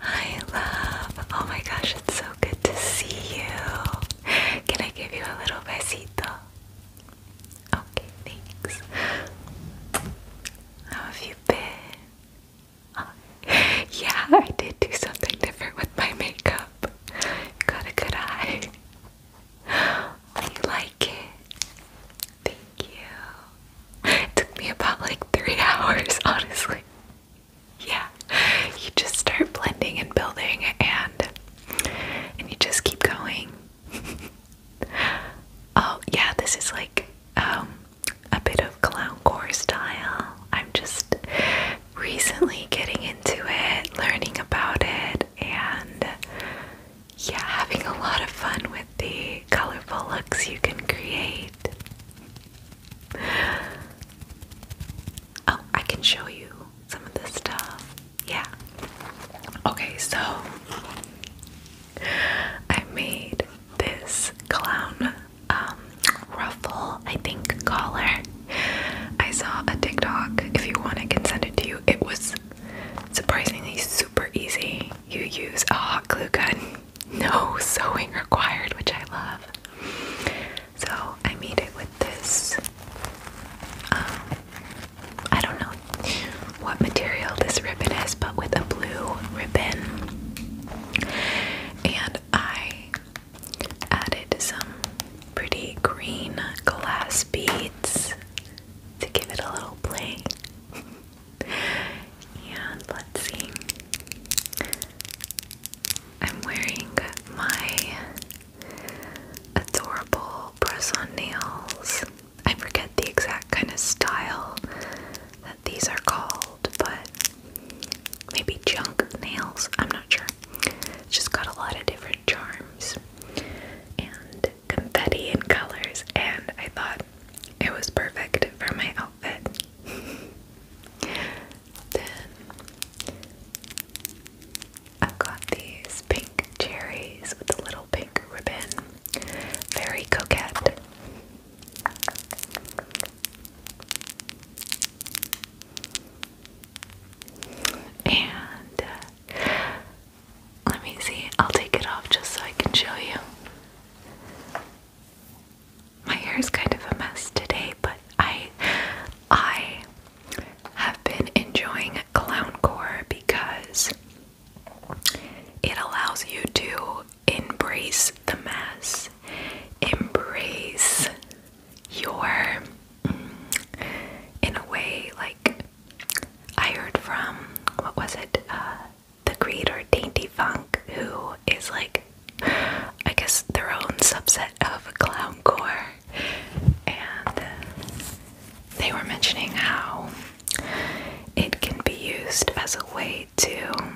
I love. Oh my gosh, it's so good to see you. Can I give you a little besito? Okay, thanks. How have you been? yeah, I did do something different with my makeup. Got a good eye. You like it? Thank you. It took me about like three hours, honestly. Yeah, you just start blending and building, and and you just keep going. oh yeah, this is like um, a bit of clowncore style. I'm just recently getting into it, learning about it, and yeah, having a lot of fun with the colorful looks you can create. Oh, I can show you some of this stuff. Yeah. Okay, so I made this clown um, ruffle, I think, collar. I saw a TikTok. If you want, I can send it to you. It was surprisingly super easy you use a hot glue gun. No sewing required, which I love. So I made it with this. Um, I don't know what material this ribbon is, but with a blue ribbon. And I added some pretty green glass beads to give it a little play. And let's see. I'm wearing my adorable press on nails. I forget the exact kind of style that these are called, but maybe junk nails. I'm not sure. just got a lot of different charms and confetti and colors, and I thought it was perfect for my outfit then I've got these pink cherries with a little pink ribbon. Very coquette. And uh, let me see, I'll take it off just so I can show you. My hair is kind of a mess today, but I I have been enjoying clowncore because it allows you to embrace the mess, embrace your mm, in a way like I heard from what was it? Uh, the creator Dainty Funk, who is like, I guess, their own subset of clowncore, and uh, they were mentioning how it can be used as a way to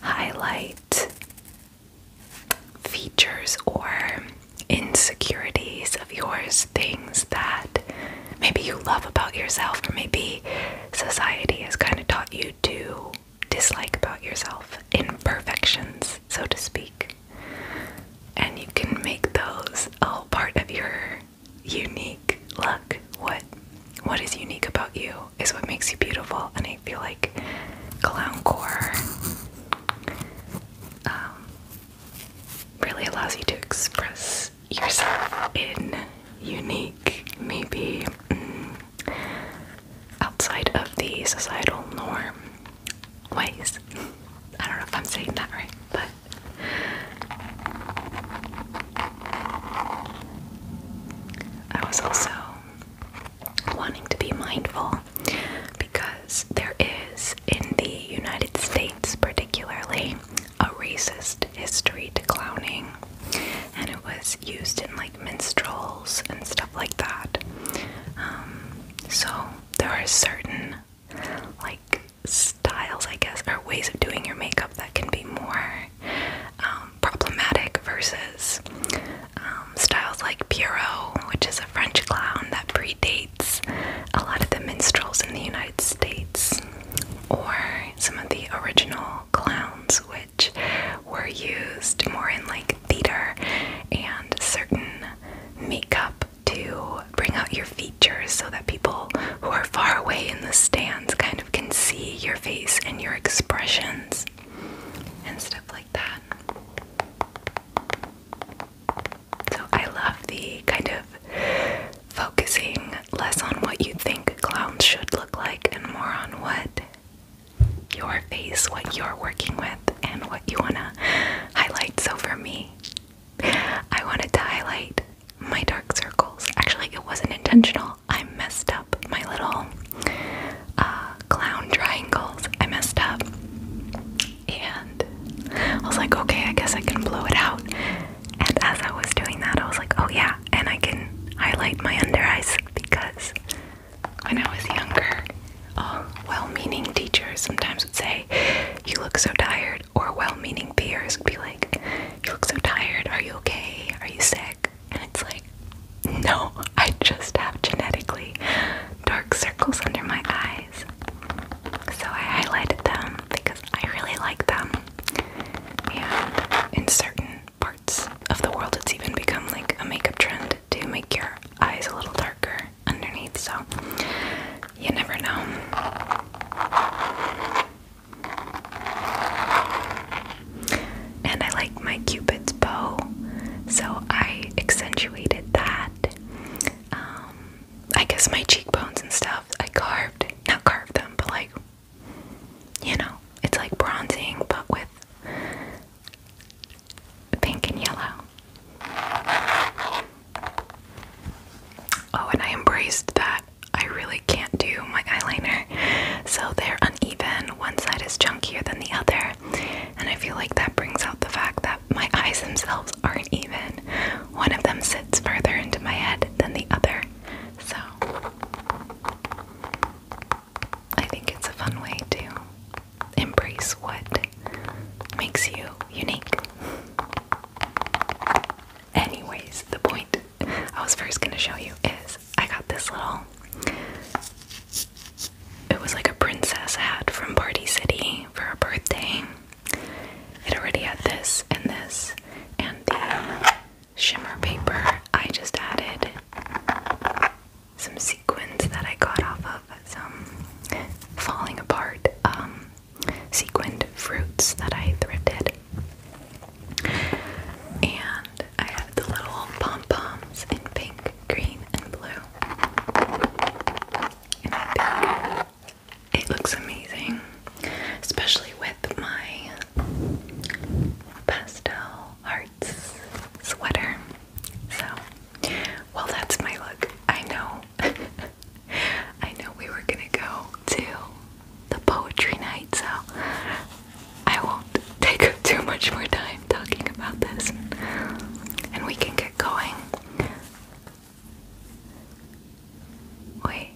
highlight features or insecurities of yours, things that maybe you love about yourself, or maybe society has kind of taught you to dislike about yourself, imperfections, so to speak. And you can make those all part of your unique look. What what is unique about you is what makes you beautiful. And I feel like clowncore um, really allows you to express yourself in unique, maybe mm, outside of the societal norm ways. I don't know if I'm saying that right, but. I was also wanting to be mindful because there is, in the United States particularly, a racist history to clowning, and it was used in like minstrels and stuff like that. Um, so there are certain like styles, I guess, or ways of doing your makeup that can be more um, problematic versus um, styles like Pierrot, which is a French clown that predates a lot of the minstrels in the United States, or some of the original clowns, which were used more in like theater and certain makeup to bring out your features so that people who are far away in the stands kind of can see your face and your expressions and stuff like that. So I love the kind of focusing less on what you think clowns should look like and more on what your face, what you're working with, and what you want to highlight. So, for me, I wanted to highlight my dark circles. Actually, it wasn't intentional. I messed up my little uh, clown triangles. I messed up. And I was like, okay, I guess I can blow it out. And as I was doing that, I was like, oh yeah, and I can highlight my under eyes because when I was younger, well meaning teachers sometimes would say, You look so tired, or well meaning peers would be like, You look so tired, are you okay? Are you sick? And it's like, No, I just have genetically dark circles under my eyes. So I highlighted them because I really like them. Yeah, in certain parts of the world it's even become like a makeup trend to make your eyes a little darker underneath so you never know and I like my cupid's bow so I accentuated that um, I guess my cheekbones and stuff I carved not carved them but like you know, it's like bronzing but with pink and yellow. Oh, and I embraced that I really can't do my eyeliner, so they're uneven. One side is chunkier than the other, and I feel like that brings out the fact that my eyes themselves aren't even. One of them sits further into my head than the other, so I think it's a fun way to embrace what makes you unique. Anyways, the point I was first going to show you is I got this little. It was like a princess hat from Party City for a birthday. It already had this and this and that shimmer paper, I just added some sequins that I got off of some falling apart um, sequined fruits that I thrifted. And I have the little pom poms in pink, green, and blue. it looks amazing, especially with my pastel art sweater. So, well, that's my look. I know, I know we were gonna go to the poetry night, so I won't take up too much more time talking about this, and we can get going. Wait,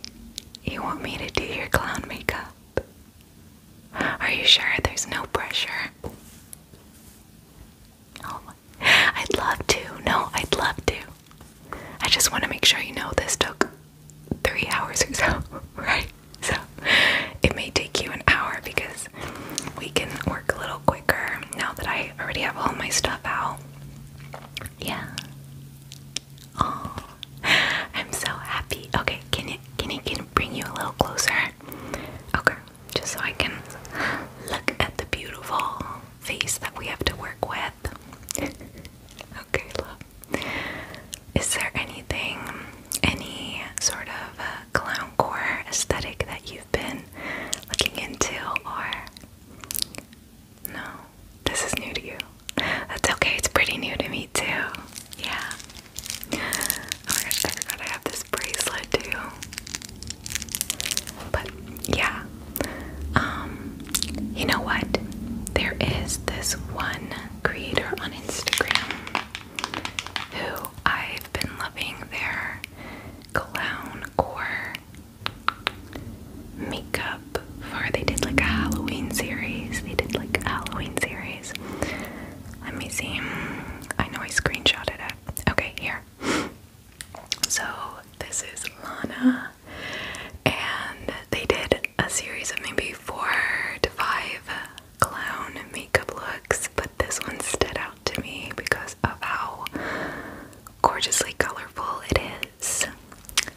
you want me to do your clown makeup? Are you sure there's no pressure? Oh, I'd love to. No, I'd love to. I just want to make sure you know this took three hours or so, right? So it may take you an hour because we can work a little quicker now that I already have all my stuff out. Yeah. Oh, I'm so happy. Okay, can you can you can bring you a little closer? Okay, just so I can look at the beautiful face that we have to work with. okay, love. Is there anything, any sort of uh, clown core aesthetic that you've been looking into, or no? This is new to you. That's okay. It's pretty new to me too. Yeah. Oh my gosh, I forgot I have this bracelet too. But yeah. Um, you know what? There is this one creator on Instagram who I've been loving their clown core makeup for they did like a Halloween series. They did like a Halloween series. Let me see. I know I screenshotted it. Okay, here. So this is Lana, and they did a series of maybe four to five clown makeup looks, but this one stood out to me because of how gorgeously colorful it is.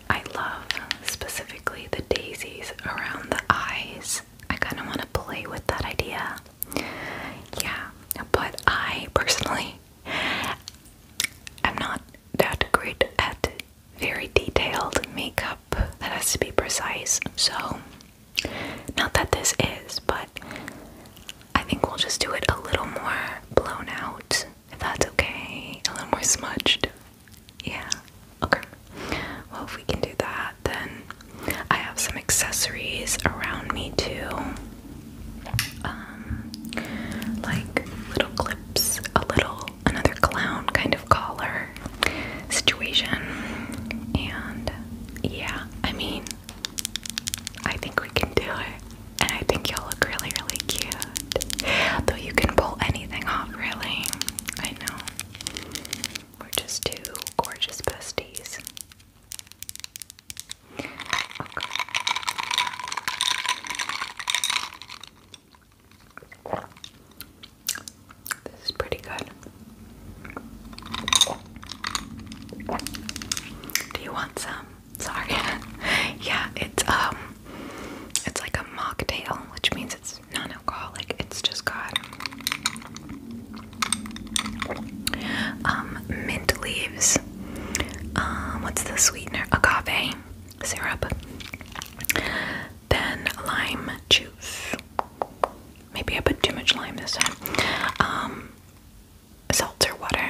I love specifically the daisies around the eyes. I kind of want to play with that idea. Yeah, but I personally i am not that great at very detailed makeup that has to be precise. So, not that this is, but I think we'll just do it a little more blown out, if that's okay. A little more smudged. Yeah. Okay. Well, if we can do that, then I have some accessories around me too. Um, like little clips, a little another clown kind of collar situation. And yeah, I mean, I think we can do it. And I think you'll look really, really cute. Though you can pull anything off, really. I know. We're just two gorgeous besties. This is pretty good. Do you want some? Sorry. yeah, it's um it's like a mocktail, which means it's it's non-alcoholic. It's just got um, mint leaves. Um, what's the sweetener? Agave syrup. Then lime juice. Maybe I put too much lime this time. Um, seltzer water,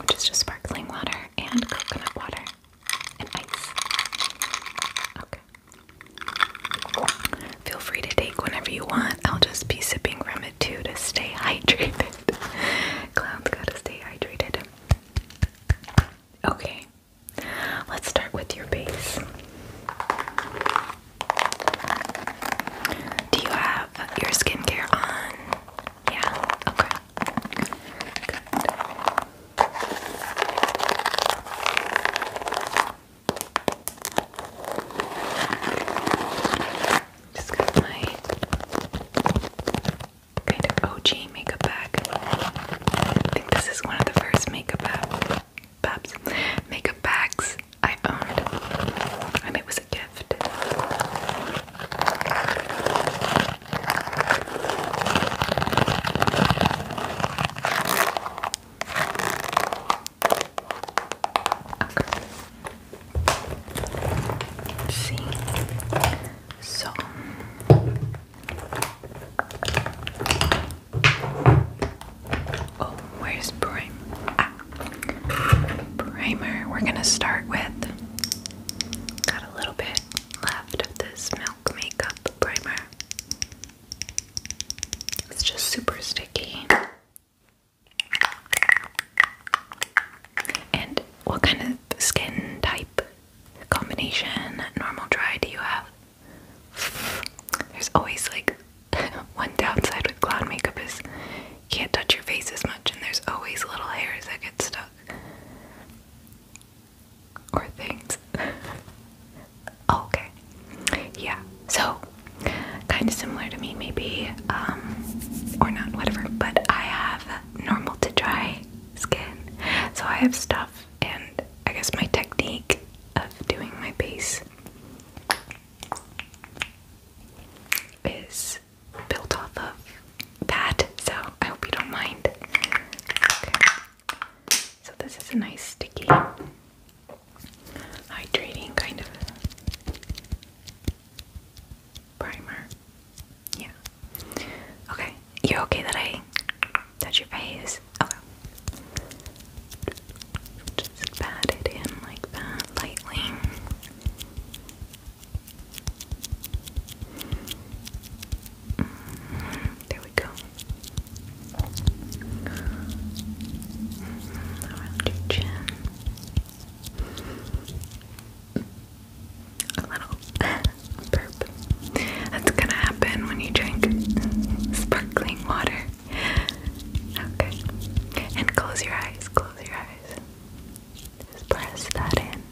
which is just sparkling water, and coconut water and ice. Okay. Feel free to take whenever you want. I'll just be sipping from it too to stay hydrated. Clowns gotta stay hydrated. Okay, let's start with your base. Do you have your skincare on? Yeah, okay. Just got my kind of OG makeup bag. I think this is one of the first makeup bag, makeup bags I owned, and it was a gift só Oh, where's prime? Ah. Primer. We're gonna start with. Got a little bit left of this milk makeup primer. It's just super sticky. And what kind of skin type combination, normal, dry, do you have? There's always like one downside with clown makeup is you can't touch your face as much, and there's always little hairs that get stuck or things. okay. Yeah. So, kind of similar to me, maybe, um, or not, whatever. But I have normal to dry skin, so I have stuff, and I guess my technique of doing my base is built off of that. So I hope you don't mind. So this is a nice sticky, hydrating kind of primer. Yeah. Okay. You're okay that I touch your face? Okay. Just pat it in like that, lightly. Mm-hmm. There we go. Around your chin. A little burp. That's gonna happen when you drink sparkling water. Okay. And close your eyes, close your eyes. Just press that in.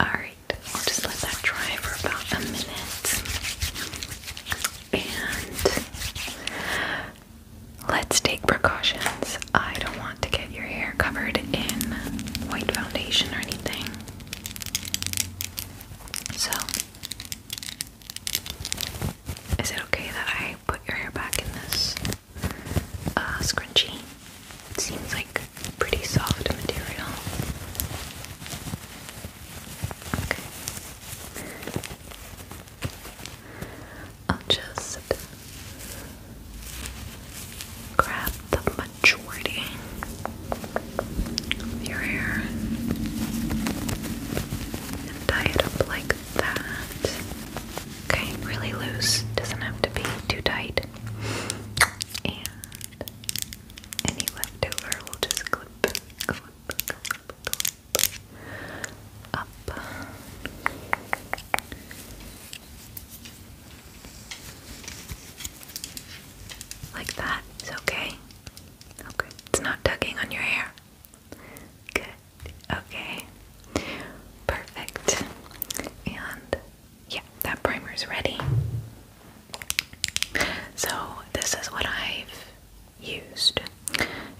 Alright, I'll just let that dry for about a minute. And let's take precautions. I don't want to get your hair covered in white foundation or anything. So, is it okay that I put your hair back in this uh, scrunchie? It seems like pretty soft material. just grab the majority of your hair and tie it up like that. Okay, really loose, doesn't have to be too tight. Any leftover we'll just clip, clip, clip, up. Like that. It's okay. Okay. It's not tugging on your hair. Good. Okay. Perfect. And yeah, that primer is ready. So this is what I've used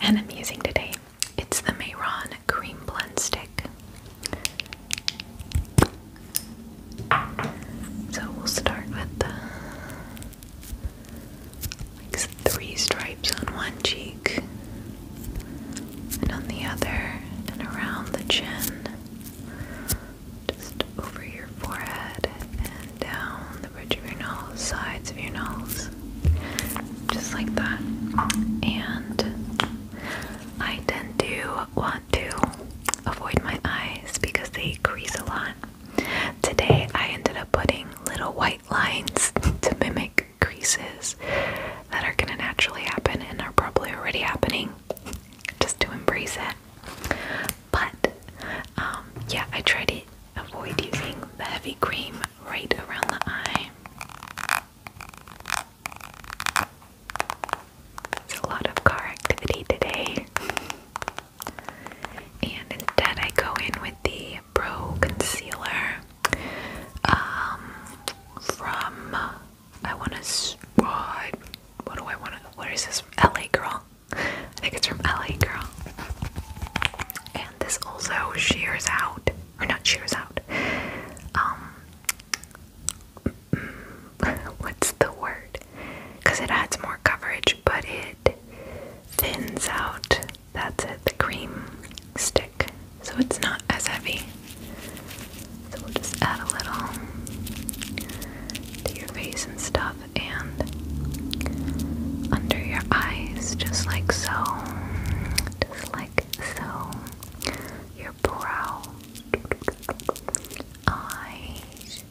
and I'm using today. It's the Mayron Cream Blend Stick. So we'll start with the like three stripes on one cheek and on the other and around the chin just over your forehead and down the bridge of your nose, sides of your nose, just like that. And I tend to want to avoid my eyes because they crease a lot. Today I ended up putting little white lines to mimic creases that are gonna naturally happen and are probably already happening just to embrace it. But um, yeah, I try to avoid using the heavy cream right around the eye. It's a lot of car activity today. And instead, I go in with the Pro Concealer um, from I want to. What? What do I want to? Where is this? LA Girl. I think it's from LA Girl. And this also shears out, or not shears out. Um, what's the word? Because it adds more coverage, but it thins out. That's it, the cream stick. So it's not as heavy. So we'll just add a little to your face and stuff and under your eyes, just like so. Just like so. Your brow. Eyes.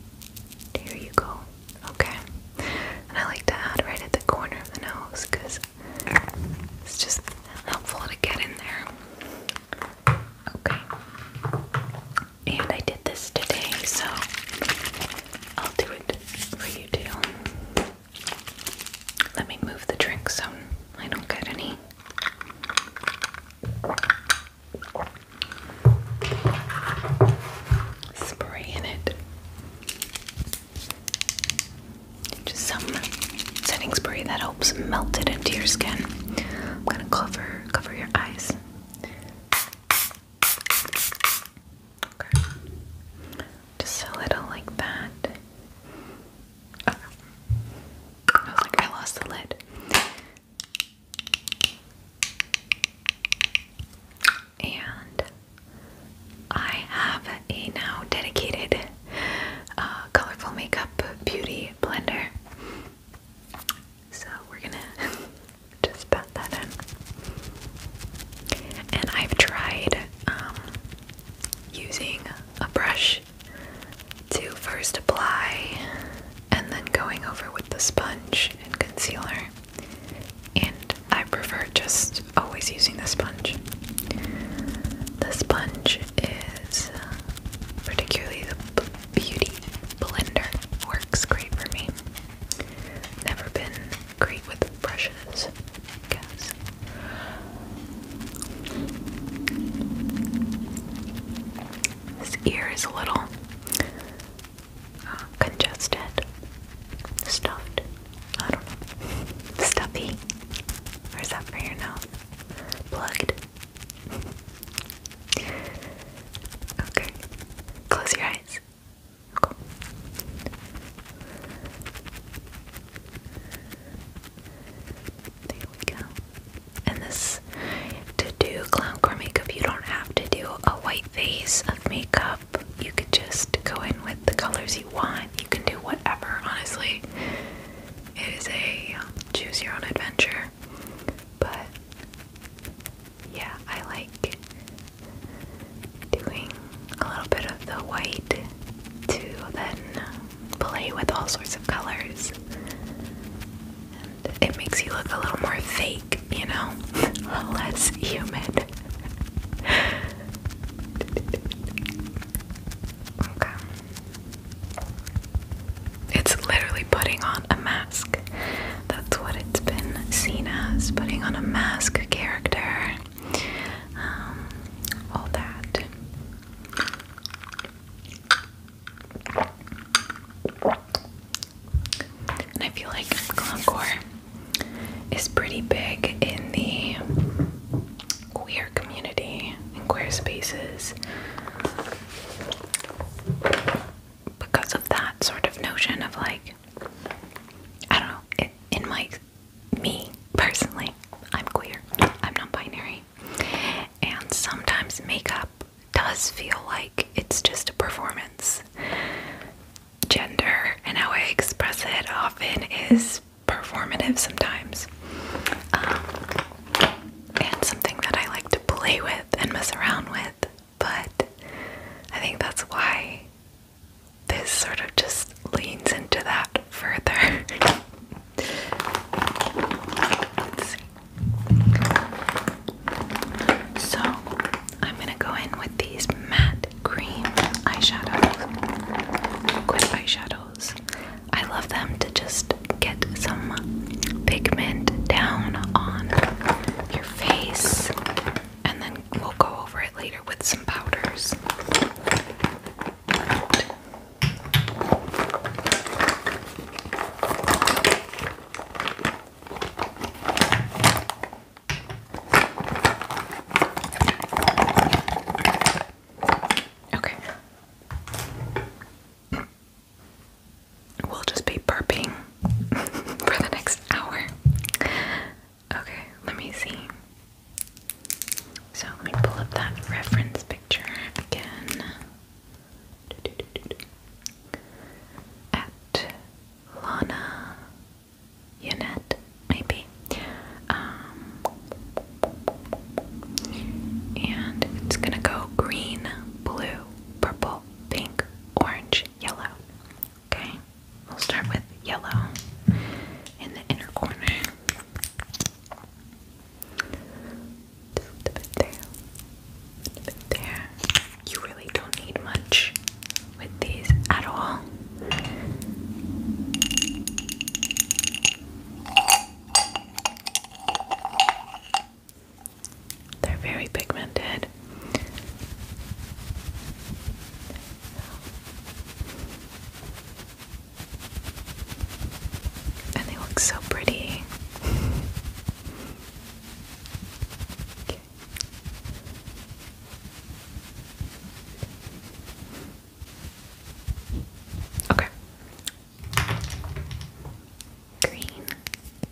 There you go. Okay. And I like to add right at the corner of the nose because it's just helpful to get in there. Okay and I did this today, so I'll do it for you too. Let me move the drink so I don't get any. Spray in it. Just some setting spray that helps melt it into your skin. I'm gonna cover cover your eyes. Just a little like that. I was like, I lost the lid. And I have a now dedicated uh, colorful makeup beauty blender. So we're gonna just pat that in. And I've tried um, using a brush to first apply and then going over with the sponge and concealer. And I prefer just always using the sponge. The sponge is particularly the beauty blender works great for me. Never been great with brushes, guess. This ear is a little uh, congested, stuffed. I don't know. Stuffy. Or is that for your nose? Plugged. Okay, close your eyes. Cool. There we go. And this to do clowncore makeup, you don't have to do a white face of makeup. You could just go in with the colors you want. You can do whatever, honestly. It is a um, choose your own adventure. But yeah, I like doing a little bit of the white to then play with all sorts of colors. And it makes you look a little more fake, you know? Less human. okay. It's literally putting on a mask. That's what it's been seen as putting on a mask character. Um, all that. And I feel like Glamcore is pretty big in the queer community, in because of that sort of notion of like, I don't know, it, in my, me personally, I'm queer, I'm not binary, and sometimes makeup does feel like it's just a performance. Gender and how I express it often is performative sometimes, um, and something that I like to play with and mess around with. But I think that's why this sort of just leans into that further. So I'm gonna go in with these matte cream eyeshadows, liquid eyeshadows. I love them to just get some pigment down on your face, and then we'll go over it later with some powders. Okay. We'll just be burping for the next hour. Okay, let me see. So let me pull up that reference picture again. At Lana Unit, maybe. Um, and it's gonna go green, blue, purple, pink, orange, yellow. Okay, we'll start with yellow in the inner corner. Just there, there. You really don't need much with these at all. They're very pigmented. And they look so pretty. okay. Green.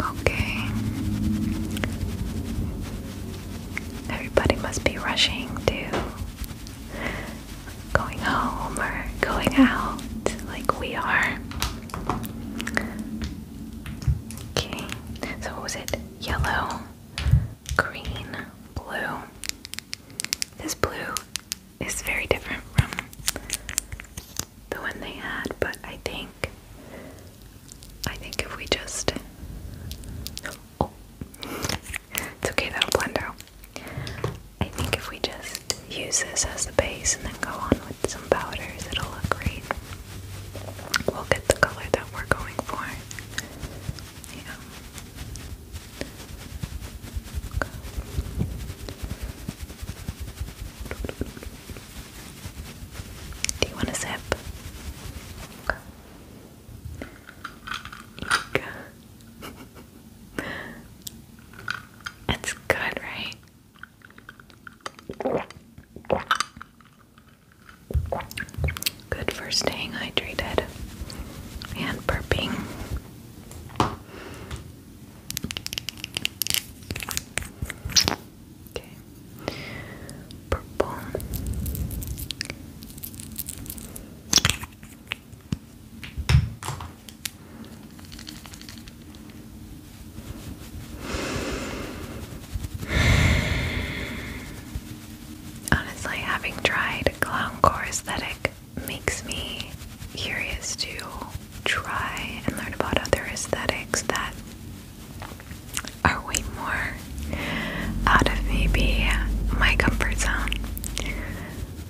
Okay. Everybody must be rushing to going home or going out like we are. Okay, so what was it? Yellow, green, blue. This blue is very different from the one they had, but I think I think if we just oh, it's okay that'll blend out. I think if we just use this as the base and then go on with some powders, it'll look great. We'll get the color that we're going for. Yeah. Do you want a sip? Okay. good, right? Good for staying hydrated and burping. Okay. Purple. Honestly, having tried clown core aesthetic makes me curious to try and learn about other aesthetics that are way more out of maybe my comfort zone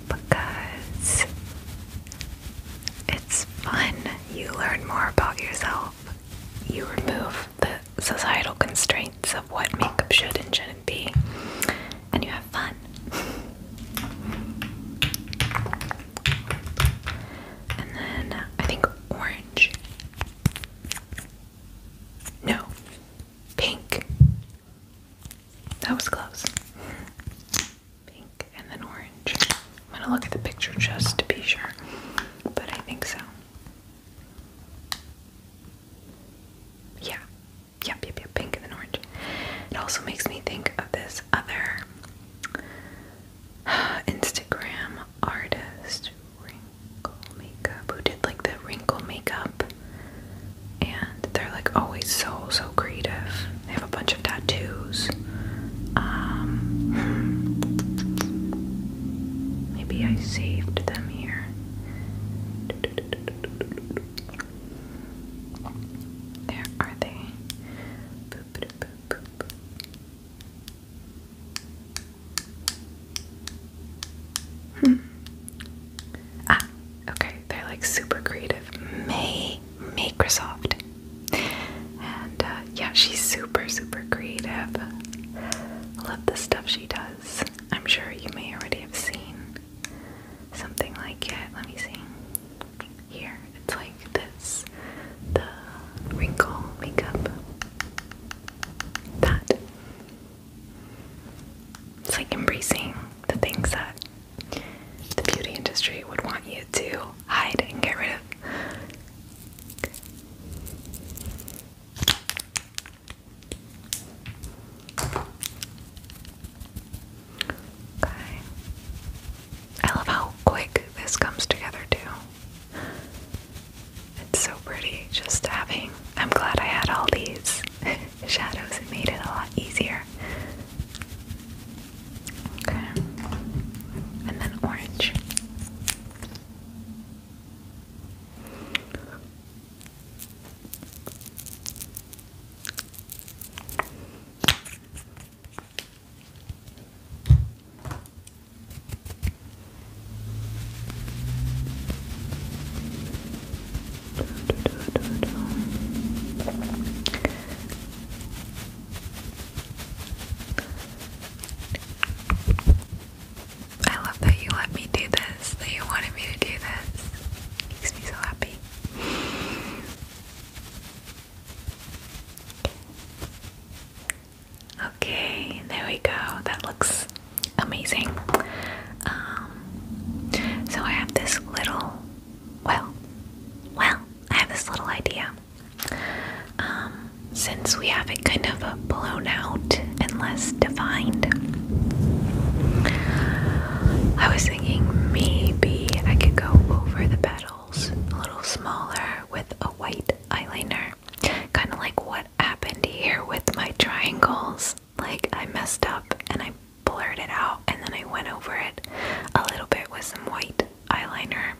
because it's fun. You learn more about yourself. You remove the societal constraints of what makeup should and shouldn't be and you have fun. and then I think orange. No, pink. That was close. Pink and then orange. I'm gonna look at the picture just to be sure, but I think so. Yeah, Yep, yep, yep, pink and orange. It also makes me think of this other Instagram artist, Wrinkle Makeup, who did like the wrinkle makeup. And they're like always so, so creative. They have a bunch of tattoos. Um, maybe I saved them here. There are they. Hmm. Ah, okay, they're like super creative. May Microsoft. And uh, yeah, she's super, super creative. Love the stuff she does. I'm sure you may already have seen something like that. Let me see. Here, it's like this the wrinkle makeup. That. It's like embracing the things that the beauty industry would want you to hide and get rid of. Okay. I love how quick this comes together too. It's so pretty just having. I'm glad I had all these shadows. It made it a lot easier. Okay. And then orange. I love that you let me do this, that you wanted me to do this. Makes me so happy. Okay, there we go. That looks amazing. Um, so I have this little, well, well, I have this little idea. Um, since we have it kind of blown out and less defined, I was maybe I could go over the petals a little smaller with a white eyeliner. Kind of like what happened here with my triangles. Like I messed up and I blurred it out and then I went over it a little bit with some white eyeliner.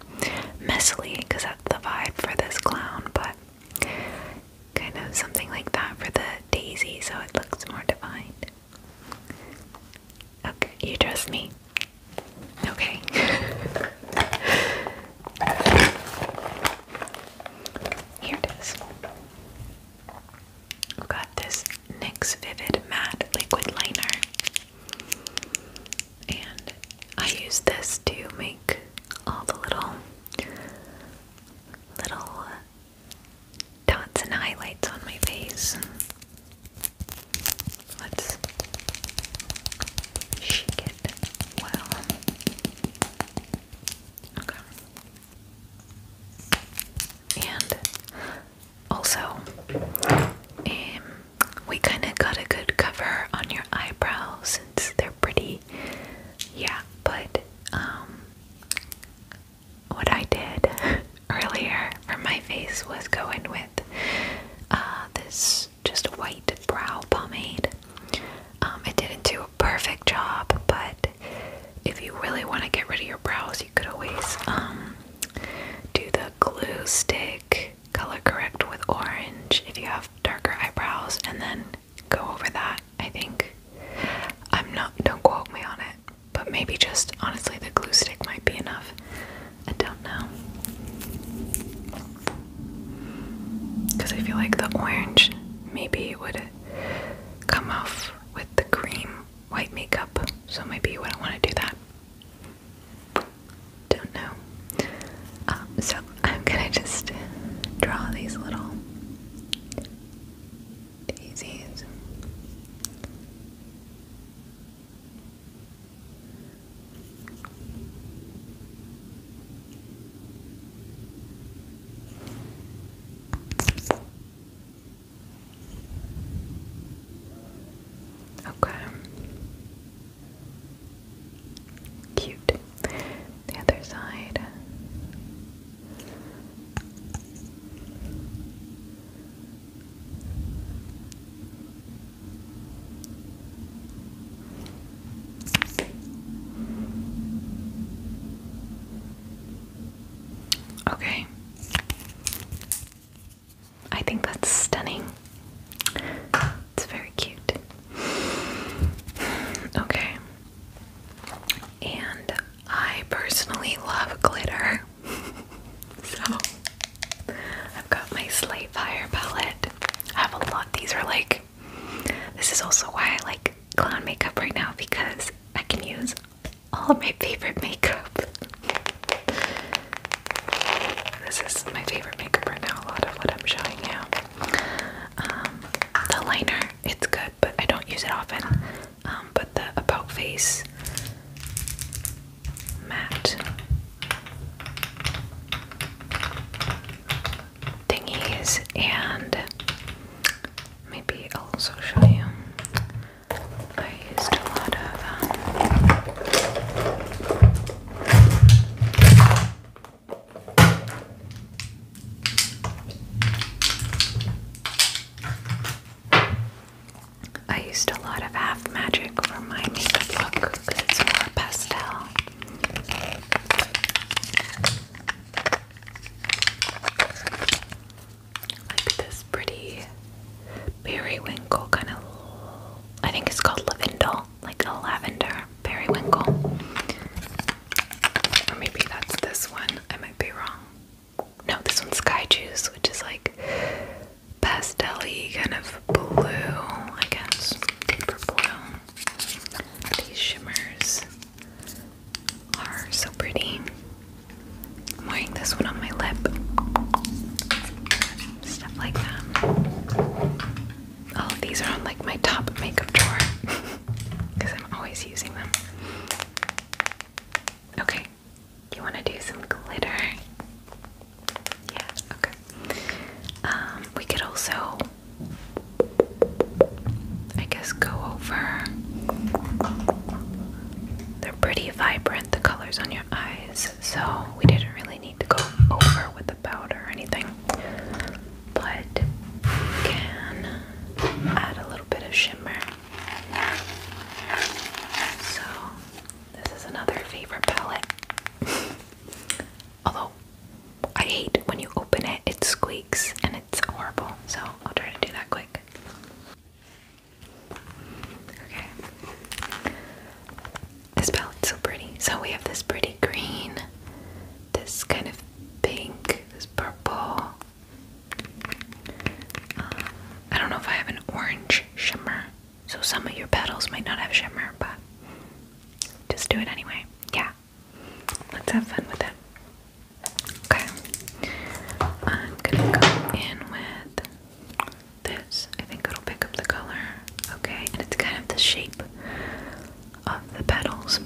Messily, because that's the vibe for this clown, but kind of something like that for the daisy so it looks more defined. Okay, you trust me? Okay. Here it is. I've got this NYX Vivid Matte Liquid Liner. And I use this to make all the little, little dots and highlights on my face. Let's shake it well. Okay. And also, um, we kind of got a good cover on your eyebrows since they're pretty. Yeah, but um, what I did earlier for my face was going with uh, this just white brow pomade. Um, it didn't do a perfect job, but if you really want to get rid of your brows, you could always um, do the glue stick color correct with orange if you have darker eyebrows, and then go over that. I think I'm not. Don't quote me on it. But maybe just honestly, the glue stick might be enough. I don't know. Because I feel like the orange maybe would come off with the cream white makeup, so maybe you wouldn't want to do that. Don't know. Um, so I'm gonna just draw these little daisies. Okay. Cute. The other side. Okay. I think that's stunning. It's very cute. Okay. And I personally love glitter. so I've got my Slate Fire palette. I have a lot. These are like, this is also why I like clown makeup right now because I can use all of my favorite makeup. This is my favorite makeup right now, a lot of what I'm showing you. Um, the liner, it's good, but I don't use it often. Um, but the About Face matte thingies, and maybe I'll also show you. I used a lot of. Um, I used a lot of half magic for my makeup look because it's more pastel. Like this pretty periwinkle kind of, I think it's called lavender, like a lavender periwinkle. Or maybe that's this one, I might be wrong. No, this one's Sky Juice, which is like pastel-y kind of blue, I guess, deeper blue. These shimmers are so pretty. I'm wearing this one on my lip. Stuff like that. All oh, of these are on like my top makeup drawer because I'm always using them. Okay, you want to do some glitter? Yeah, okay. Um, we could also, I guess, go over. They're pretty vibrant, the colors on your eyes, so we didn't really need to go over with the powder or anything. But you can add a little bit of shimmer. So this is another favorite palette. Although I hate when you open it, it squeaks and it's horrible. So I'll try to do that quick. Okay. This palette's so pretty. So we have this pretty green, this kind of pink, this purple. Um, I don't know if I have an orange shimmer. So some of your petals might not have shimmer, but just do it anyway. Yeah. Let's have fun with it. Okay. I'm gonna go in with this. I think it'll pick up the color. Okay, and it's kind of the shape of the petals.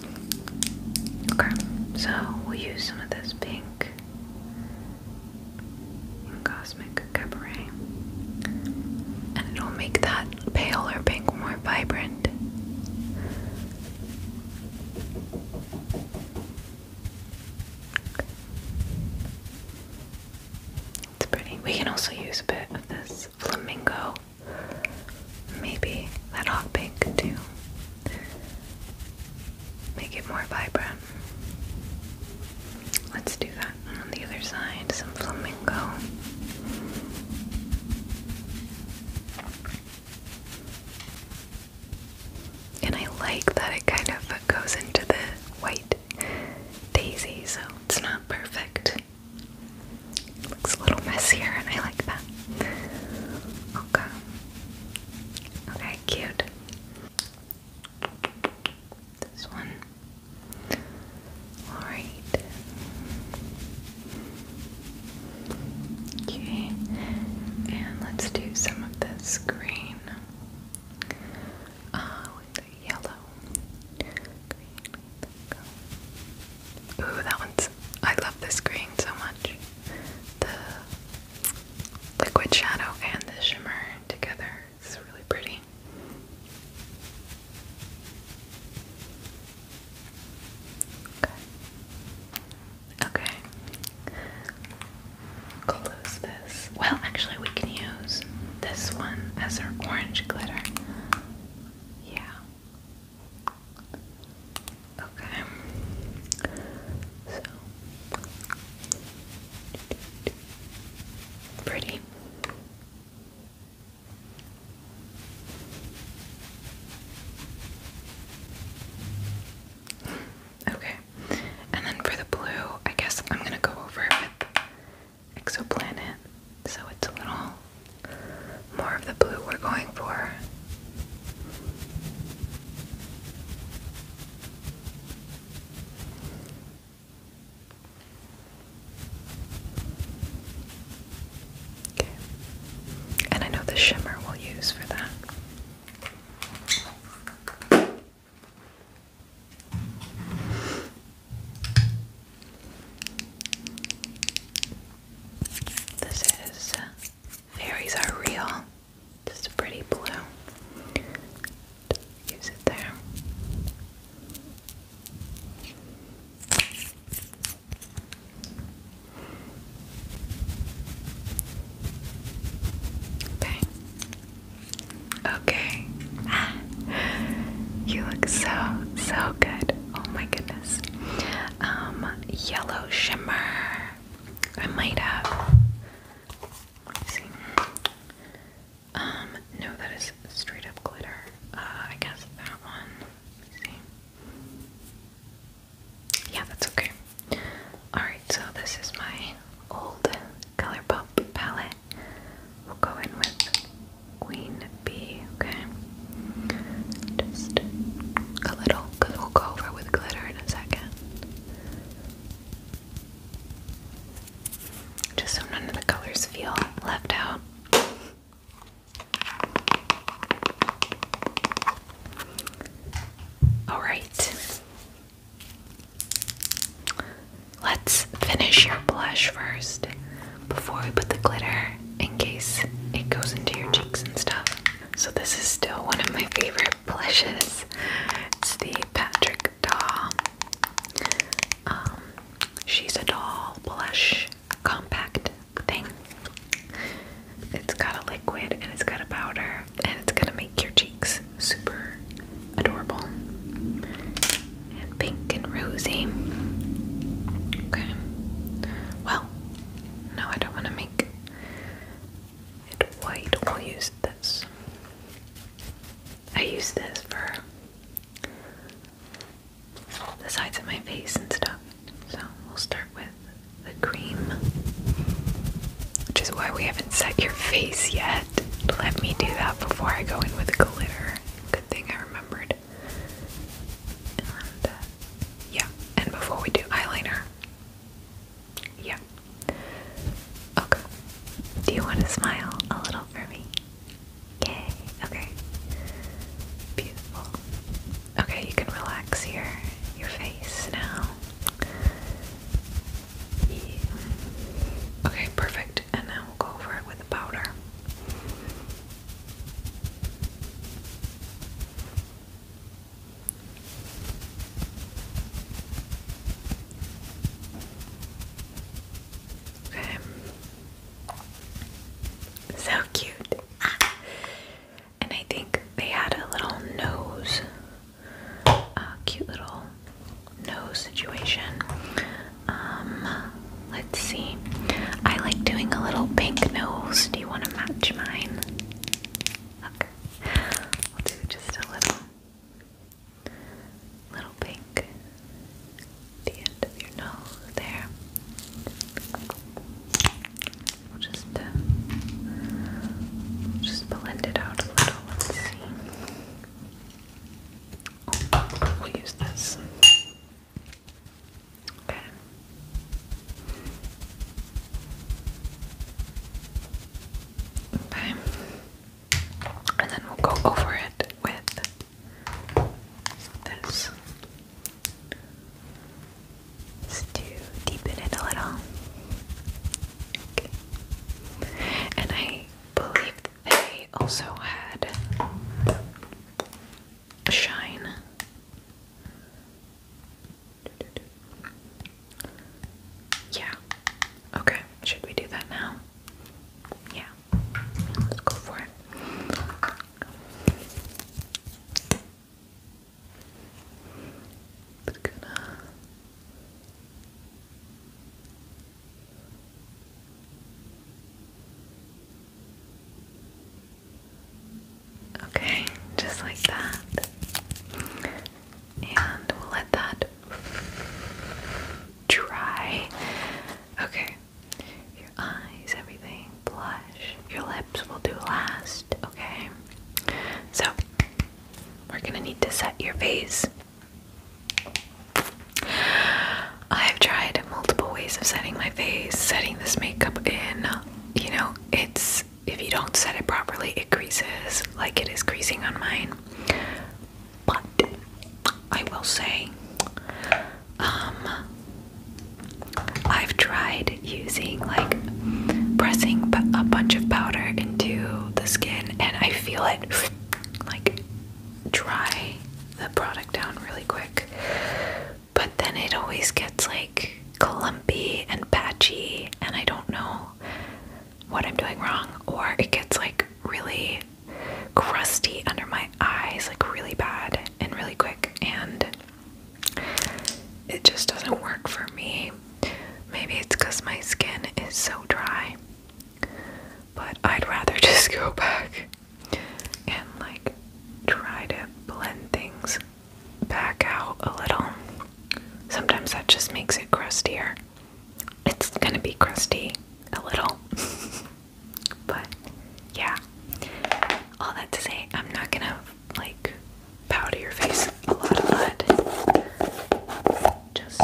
Okay, so we'll use some of this pink Cosmic Cabaret. And it'll make that pale or pink more vibrant. It's pretty. We can also use a bit of this flamingo, maybe that hot pink too. Make it more vibrant. Let's do that on the other side, some flamingo. And I like that it kind of goes into the white daisy, so it's not perfect. It looks a little messier, and I like that. Okay. Okay, cute this one. Alright. Okay, and let's do some of this green uh, with the yellow. Ooh, that one's. I love this green so much. The liquid shadow and the shimmer together it's really pretty. Okay. Okay. Close this. Well, actually, we can use this one as our orange glitter. Yeah. Okay. So. Pretty. Okay. And then for the blue, I guess I'm gonna go over with exoplanet. So it's a little more of the blue we're going for. Okay. And I know the shimmer we'll use for that. This is Fairies Are Real. This is pretty blue use it there. Okay. Okay. you look so, so good. Oh my goodness. Um, yellow shimmer. I might have. Um, no, that is straight up glitter. Uh, I guess that one. Yeah, that's okay. Alright, so this is my old Colourpop palette. We'll go in with Queen Bee, okay? Just a little, because we'll go over with glitter in a second. Just so none of the colors feel left out. All right. Let's finish your blush first before we put the glitter in case it goes into your cheeks and stuff. So, this is still one of my favorite blushes. It's the Patrick Daw. Um, she's a doll blush compact thing. It's got a liquid and it's got a powder and it's gonna make your cheeks super adorable and pink and rosy. Okay. Well, no, I don't want to make it white. We'll use this. I use this for the sides of my face and stuff. So we'll start with the cream, which is why we haven't set your face yet. Let me do that before I go in with glitter. Good thing I remembered. Uh, yeah, and before we do eyeliner, yeah. Okay. Do you want to smile a little for me? Yay. Okay. Beautiful. Okay, you can relax your your face now. Okay, perfect. And now we'll go over it with powder. Okay. So cute. Ah. And I think they had a little nose, a uh, cute little nose situation. Um, let's see. I like doing a little pink nose. Do you want to match mine? Okay. I'll do just a little little pink the end of your nose there. just uh, just blend it out a little. Let's see. Oh, we'll use this. Okay. Okay and then we'll go over it with this. to deepen it a little. And I believe they also had shine. Yeah. Okay. Should we do that now? Yeah, let's go for it. It's gonna Okay, just like that. And we'll let that dry. Okay. Your eyes, everything, blush. Your lips will do last, okay? So, we're gonna need to set your face. I've tried multiple ways of setting my face, setting this makeup in. You know, it's if you don't set it properly, it creases like it is creasing on mine. But I will say, um, I've tried using like pressing a bunch of powder into the skin, and I feel it like dry the product down really quick. But then it always gets like clumpy and patchy, and I don't know what I'm doing wrong, or it gets like really crusty under my eyes, like really bad and really quick, and it just doesn't work for me. Maybe it's because my skin is so dry, but I'd rather just go back and like try to blend things back out a little. Sometimes that just makes it crustier. It's gonna be crusty a little, but yeah. All that to say, I'm not gonna like powder your face a lot of mud, just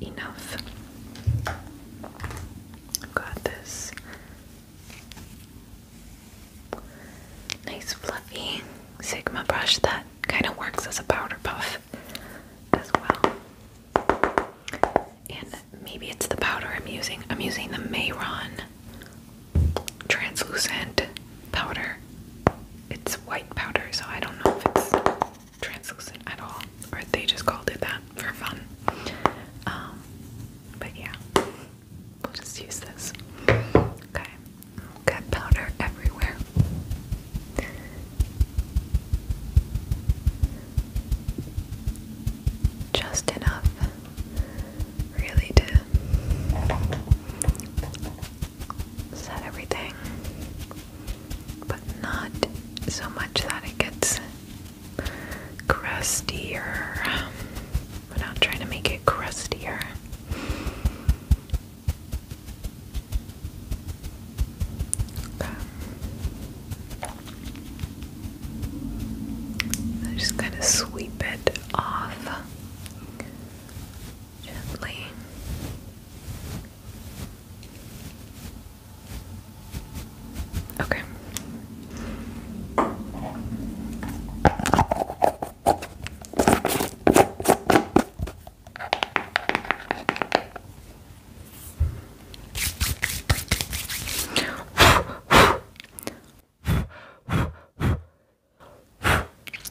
enough. I've got this nice fluffy Sigma brush that kind of works as a powder puff. And maybe it's the powder I'm using. I'm using the Mayron translucent powder. It's white powder, so I don't know if it's translucent at all, or they just called it that for fun. Um, but yeah, we'll just use this. Okay, got powder everywhere. Just enough, really, to set everything, but not so much that it gets crustier. We're um, not trying to make it crustier just kind of sweep it off gently. Okay.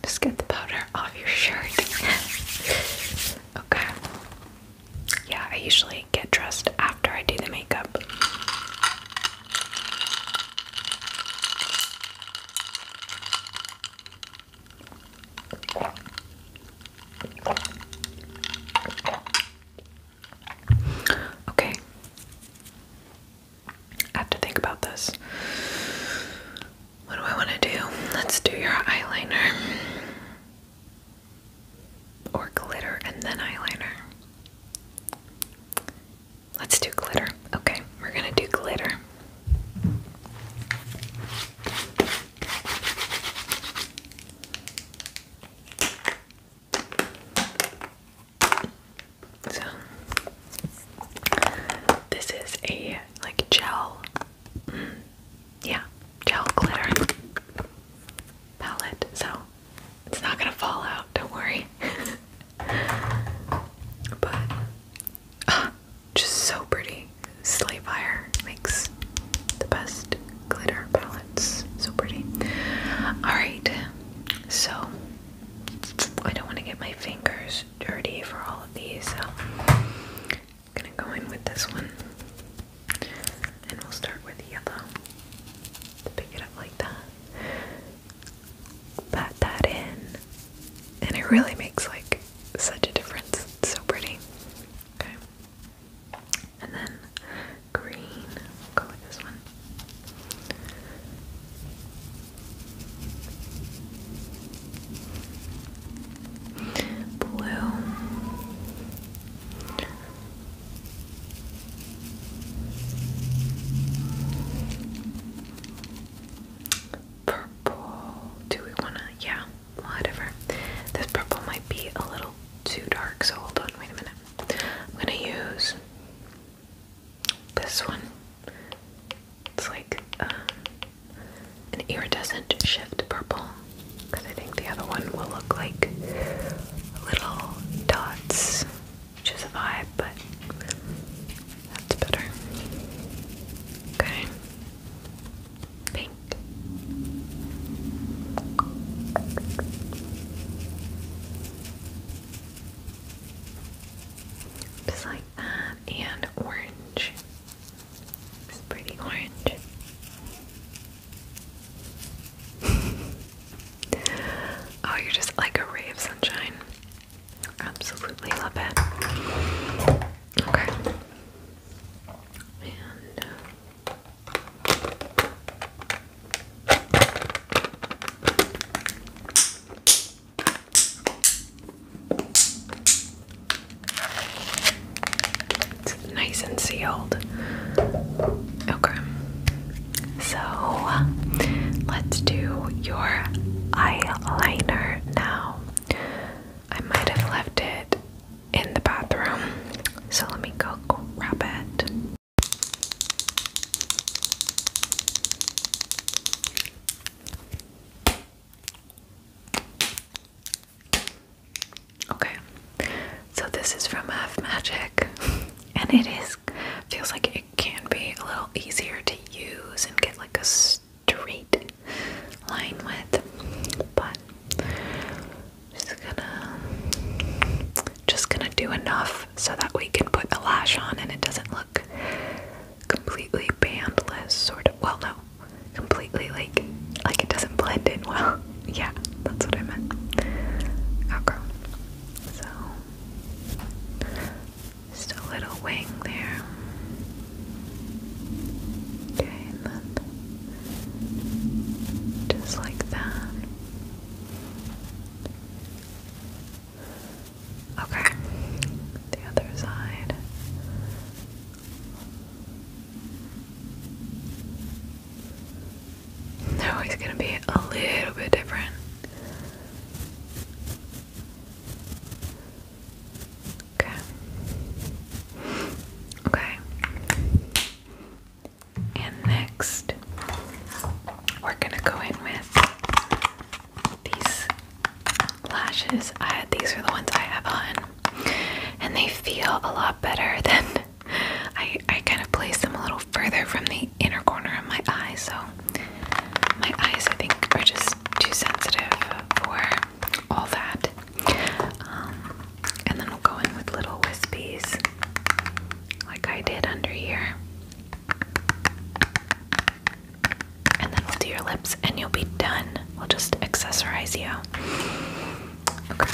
Just get the powder off your shirt. okay. Yeah, I usually get dressed after I do the makeup. Okay. I have to think about this. What do I want to do? Let's do your eyeliner. Or glitter and then eyeliner. Let's do glitter. Okay, we're gonna do glitter. So this is a like gel, mm, yeah, gel glitter palette. So it's not gonna fall out. Don't worry. but ah, just so pretty my sleigh makes the best glitter palettes. So pretty. Alright, so I don't want to get my fingers dirty for all of these, so I'm gonna go in with this one. And we'll start with yellow. To pick it up like that. Pat that in. And it really makes like such a difference. so pretty. Okay. And then green. go with this one. Blue. Purple. Do we wanna? Yeah, whatever. This purple might be a little too dark, so hold on, wait a minute. I'm gonna use this one. It's like uh, an iridescent shift purple, because I think the other one will look like little dots, which is a vibe, but that's better. Okay pink. Just like that, and orange. It's pretty orange. oh, you're just like a ray of sunshine. Absolutely love it. Okay. Uh, it's nice and sealed. Okay. So let's do your eyeliner now. I might have left it in the bathroom. So let me go grab it. Okay, so this is from F Magic, and it is feels like it can be a little easier to use and get like a straight line with, but just gonna just gonna do enough so that we can put a lash on and it doesn't look completely bandless sort of well no completely like like it doesn't blend in well yeah that's what I meant okay oh, so just a little wing there okay and then just like that. Okay, the other side. They're going to be a little bit different. Okay. Okay. And next, we're gonna go in with these lashes. I, these are the ones I have on, and they feel a lot better than I. I kind of place them a little further from the inner corner of my eye, so my eyes I think are just too sensitive for all that. Um, and then we'll go in with little wispies, like I did under here. And then we'll do your lips, and you'll be done. We'll just accessorize you. Okay.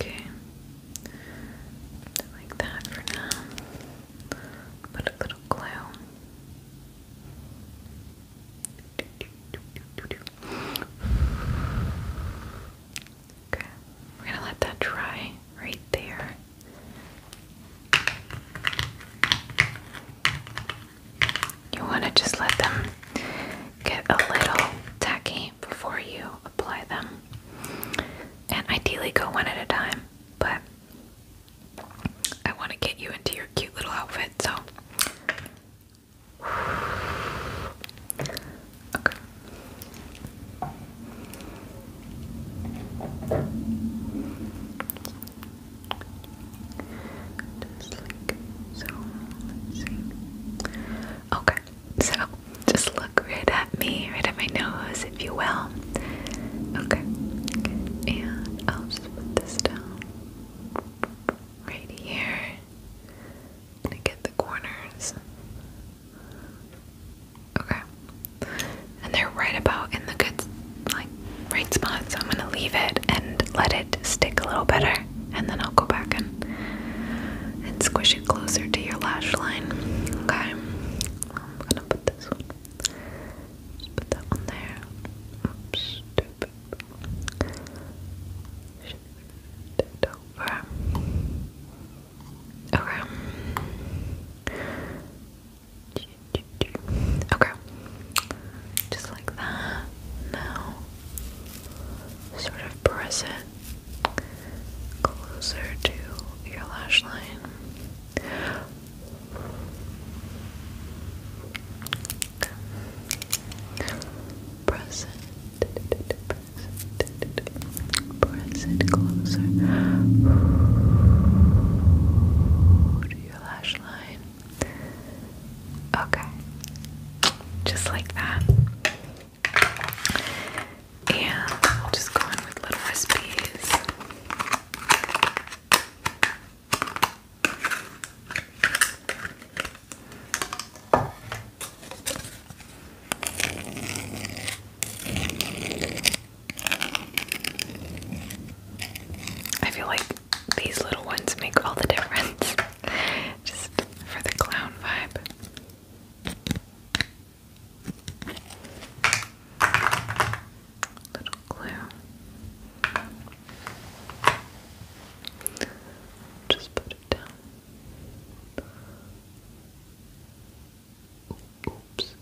Okay, like that for now. Put a little glue. Okay, we're gonna let that dry right there. You want to just let them get a little tacky before you apply them, and ideally go one at a time. But I want to get you into your cute little outfit, so Okay. Okay, so just look right at me, right at my nose, if you will. Okay, and I'll just put this down right here. i gonna get the corners. Okay. And they're right about in the good, like, right spot, so I'm gonna leave it and let it stick a little better, and then I'll go back and, and squish it closer to your lash line. Okay. I'm gonna put this one. Just put that one there. Oops, Shift it Okay. Okay. Just like that. Now, sort of press it closer to your lash line. Press it. Press closer your lash line. Okay. Just like that. And I'll just go in with little wispies. I feel like these little ones make all the difference just for the clown vibe. Little glue. Just put it down. Oops.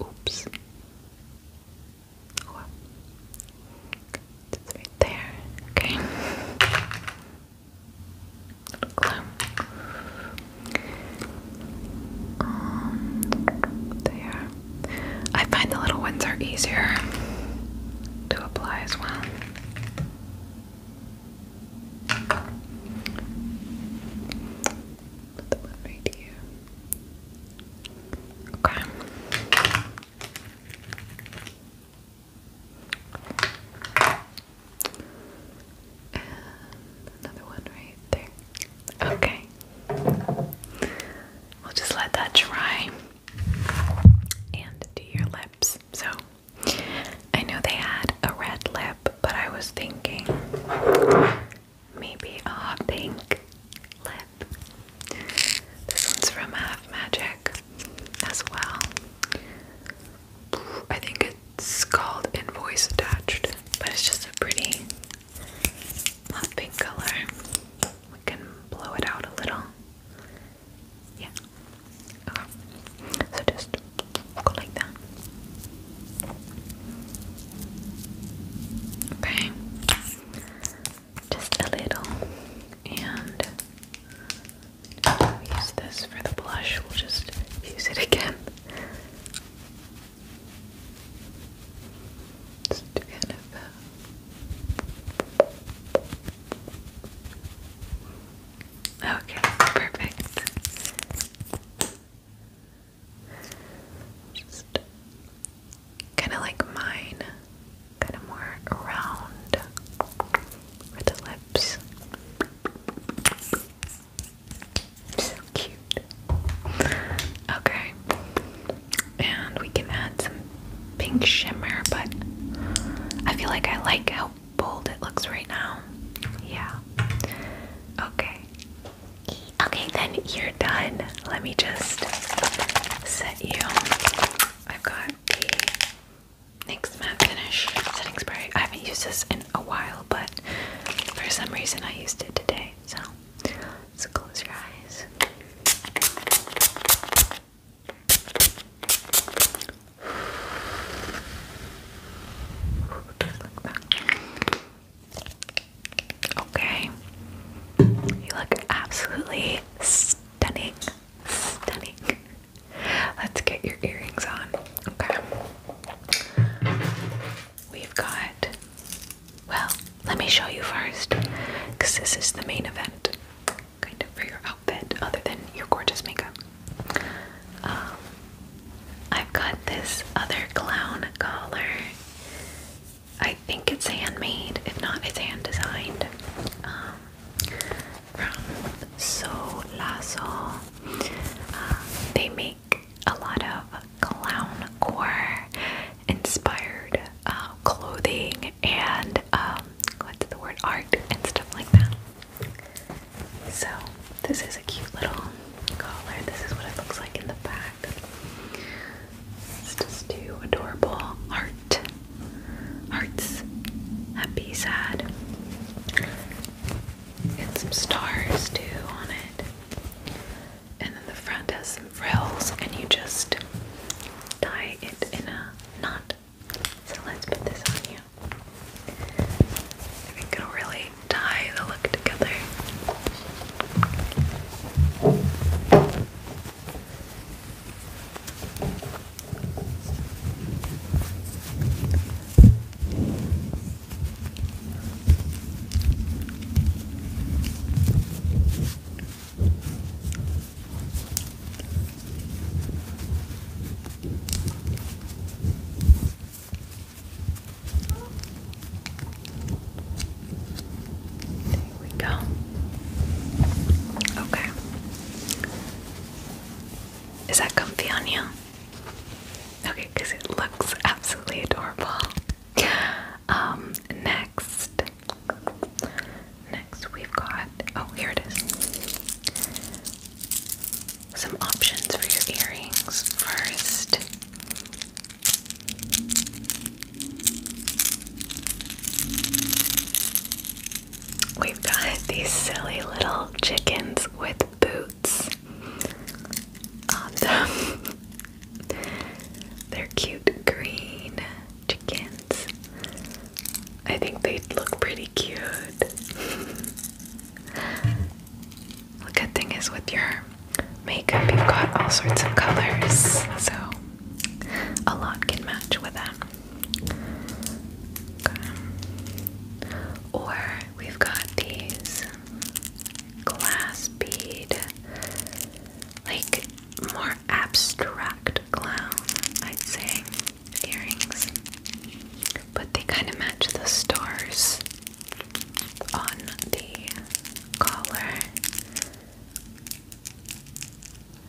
Oops. there. Okay. Um, there. I find the little ones are easier to apply as well. the one right here. Okay. And another one right there. Okay. We'll just let that dry and to your lips. So I know they had a red lip, but I was thinking maybe a pink lip. This one's from Half uh, Magic as well. I think it's called Invoice Attached, but it's just a pretty hot pink color. We can blow it out a little. Yeah. Okay. So just like that. Okay. Just a little. And use this for the blush. We'll just use it again. It's kind of okay, perfect. Just kind of like mine, kind of more round for the lips. cute. Okay and we can add some pink shimmer, but I feel like I like how bold it looks right now. Yeah. Okay. Okay, then you're done. Let me just set you. I've got the NYX Matte Finish Setting Spray. I haven't used this in a while, but for some reason I used it today. So, so close your eyes. Okay. You look absolutely stunning. Stunning. Let's get your earrings on. Okay. We've got, well, let me show you first because this is the main event kind of for your outfit other than your gorgeous makeup. Um, I've got this other clown collar. I think it's handmade, if not, it's hand designed um, from So Lasso. Uh, they make a lot of clown core inspired um, clothing and um, what's the word art and stuff like that. So this is a cute little collar. This is what it looks like in the back. It's just two adorable Art, hearts. Happy, sad. And some stars too on it. And then the front has some frills and you just tie it in a not. So let's put this on you. I think it'll really tie the look together. There we go. Okay. Is that comfy on you? Okay, because it looks absolutely adorable. Um, next, Next, we've got oh, here it is. Some options for your earrings. First, we've got these silly little chickens with boots. Um, awesome. They're cute green chickens. I think they'd look pretty cute. good thing is with your makeup, you've got all sorts of colors, so a lot can match with them. Or we've got these glass bead, like more abstract clown, I'd say, earrings. But they kind of match the stars on the collar.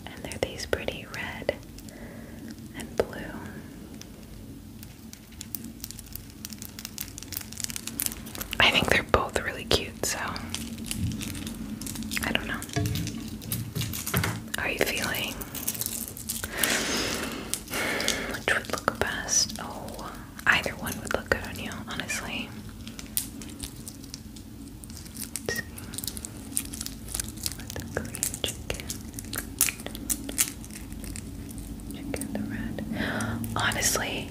And they're these pretty red and blue. I think they're both really cute, so I don't know are you feeling? Which would look best? Oh, either one would look good on you, honestly. the green the red. Honestly,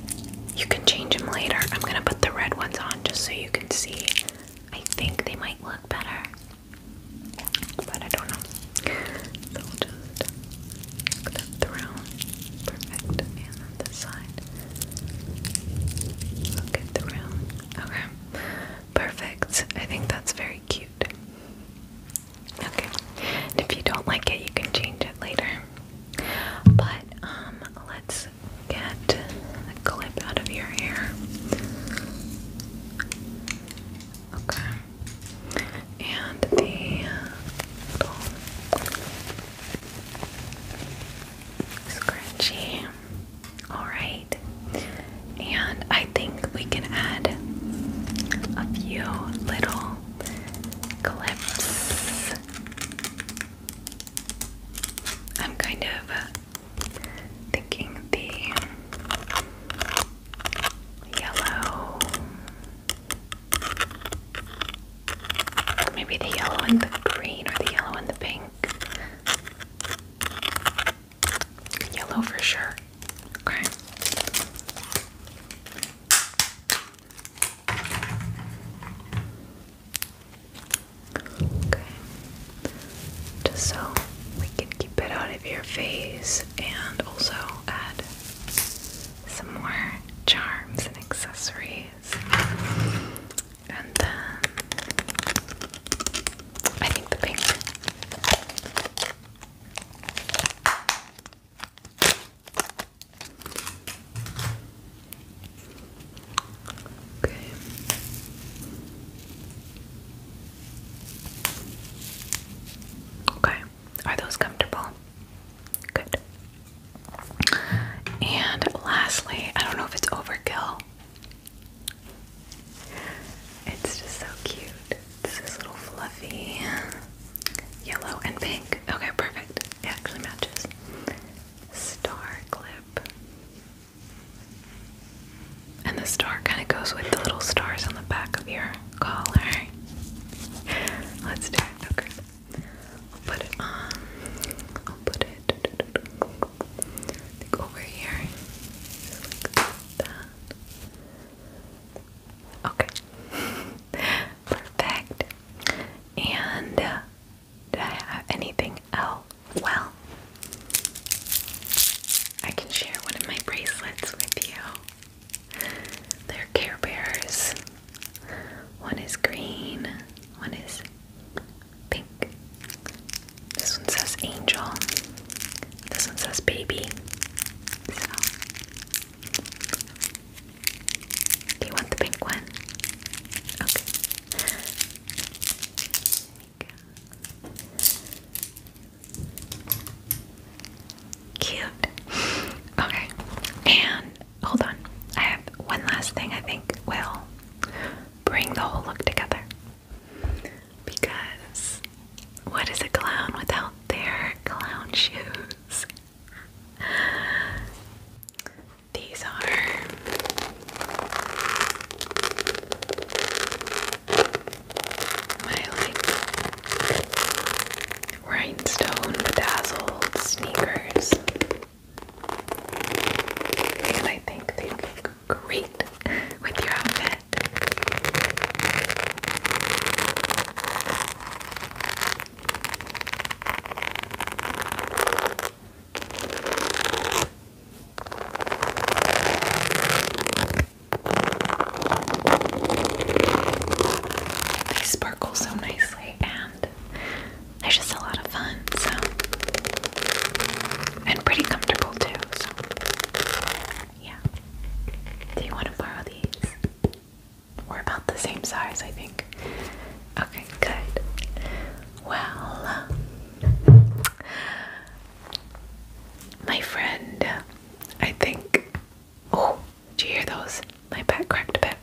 you can change them later. I'm gonna put the red ones on just so you can see I think they might look better, but I don't know. So just put that through. Perfect. And then this side. Look it through. Okay. Perfect. I think that's very cute. Okay. And if you don't like it, you can change it later. But um, let's get the clip out of your hair. Okay. And the little scrunchie. Alright. And I think we can add a few little clips. I'm kind of thinking the yellow, maybe the yellow and the green, or the yellow and the pink. Yellow for sure. Okay. Just so we can keep it out of your face and also add some more charms and accessories. And then I think the pink. Okay. Okay. Are those comfortable? Good. And lastly, I don't know if it's overkill. It's just so cute. This is little fluffy yellow and pink. Okay, perfect. It actually matches. Star clip. And the star kind of goes with the little stars on the back of your collar. Let's do it. Okay. I'll put it on. I'll put it over here. Okay. Perfect. And uh, I have anything else? Well, I can share one of my bracelets with you. They're Care Bears. One is green, one is pink. This one says angel. This one says baby. do you want the pink one? Okay. Cute. Okay. And hold on. I have one last thing I think will bring the whole look together. Because what is a clown without their clown shoes? These are my like rhinestone bedazzled sneakers. And I think they look great with your outfit. They sparkle so nicely, and they're just a lot of fun, so and pretty comfortable too. So yeah, do you want to borrow these? We're about the same size, I think. Okay, good. Well, um, my friend, I think. Oh, do you hear those? My back cracked a bit.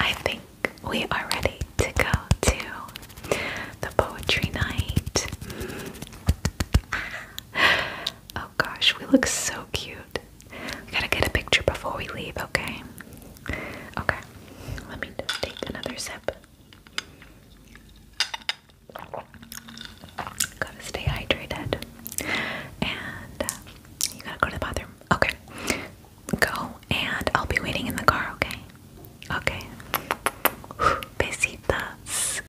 I think we are ready to go to the poetry night. Oh gosh, we look so cute. We gotta get a picture before we leave, okay? Okay, let me take another sip. Gotta stay hydrated. And uh, you gotta go to the bathroom. Okay. Go and I'll be waiting in the car, okay? Okay. Besitas.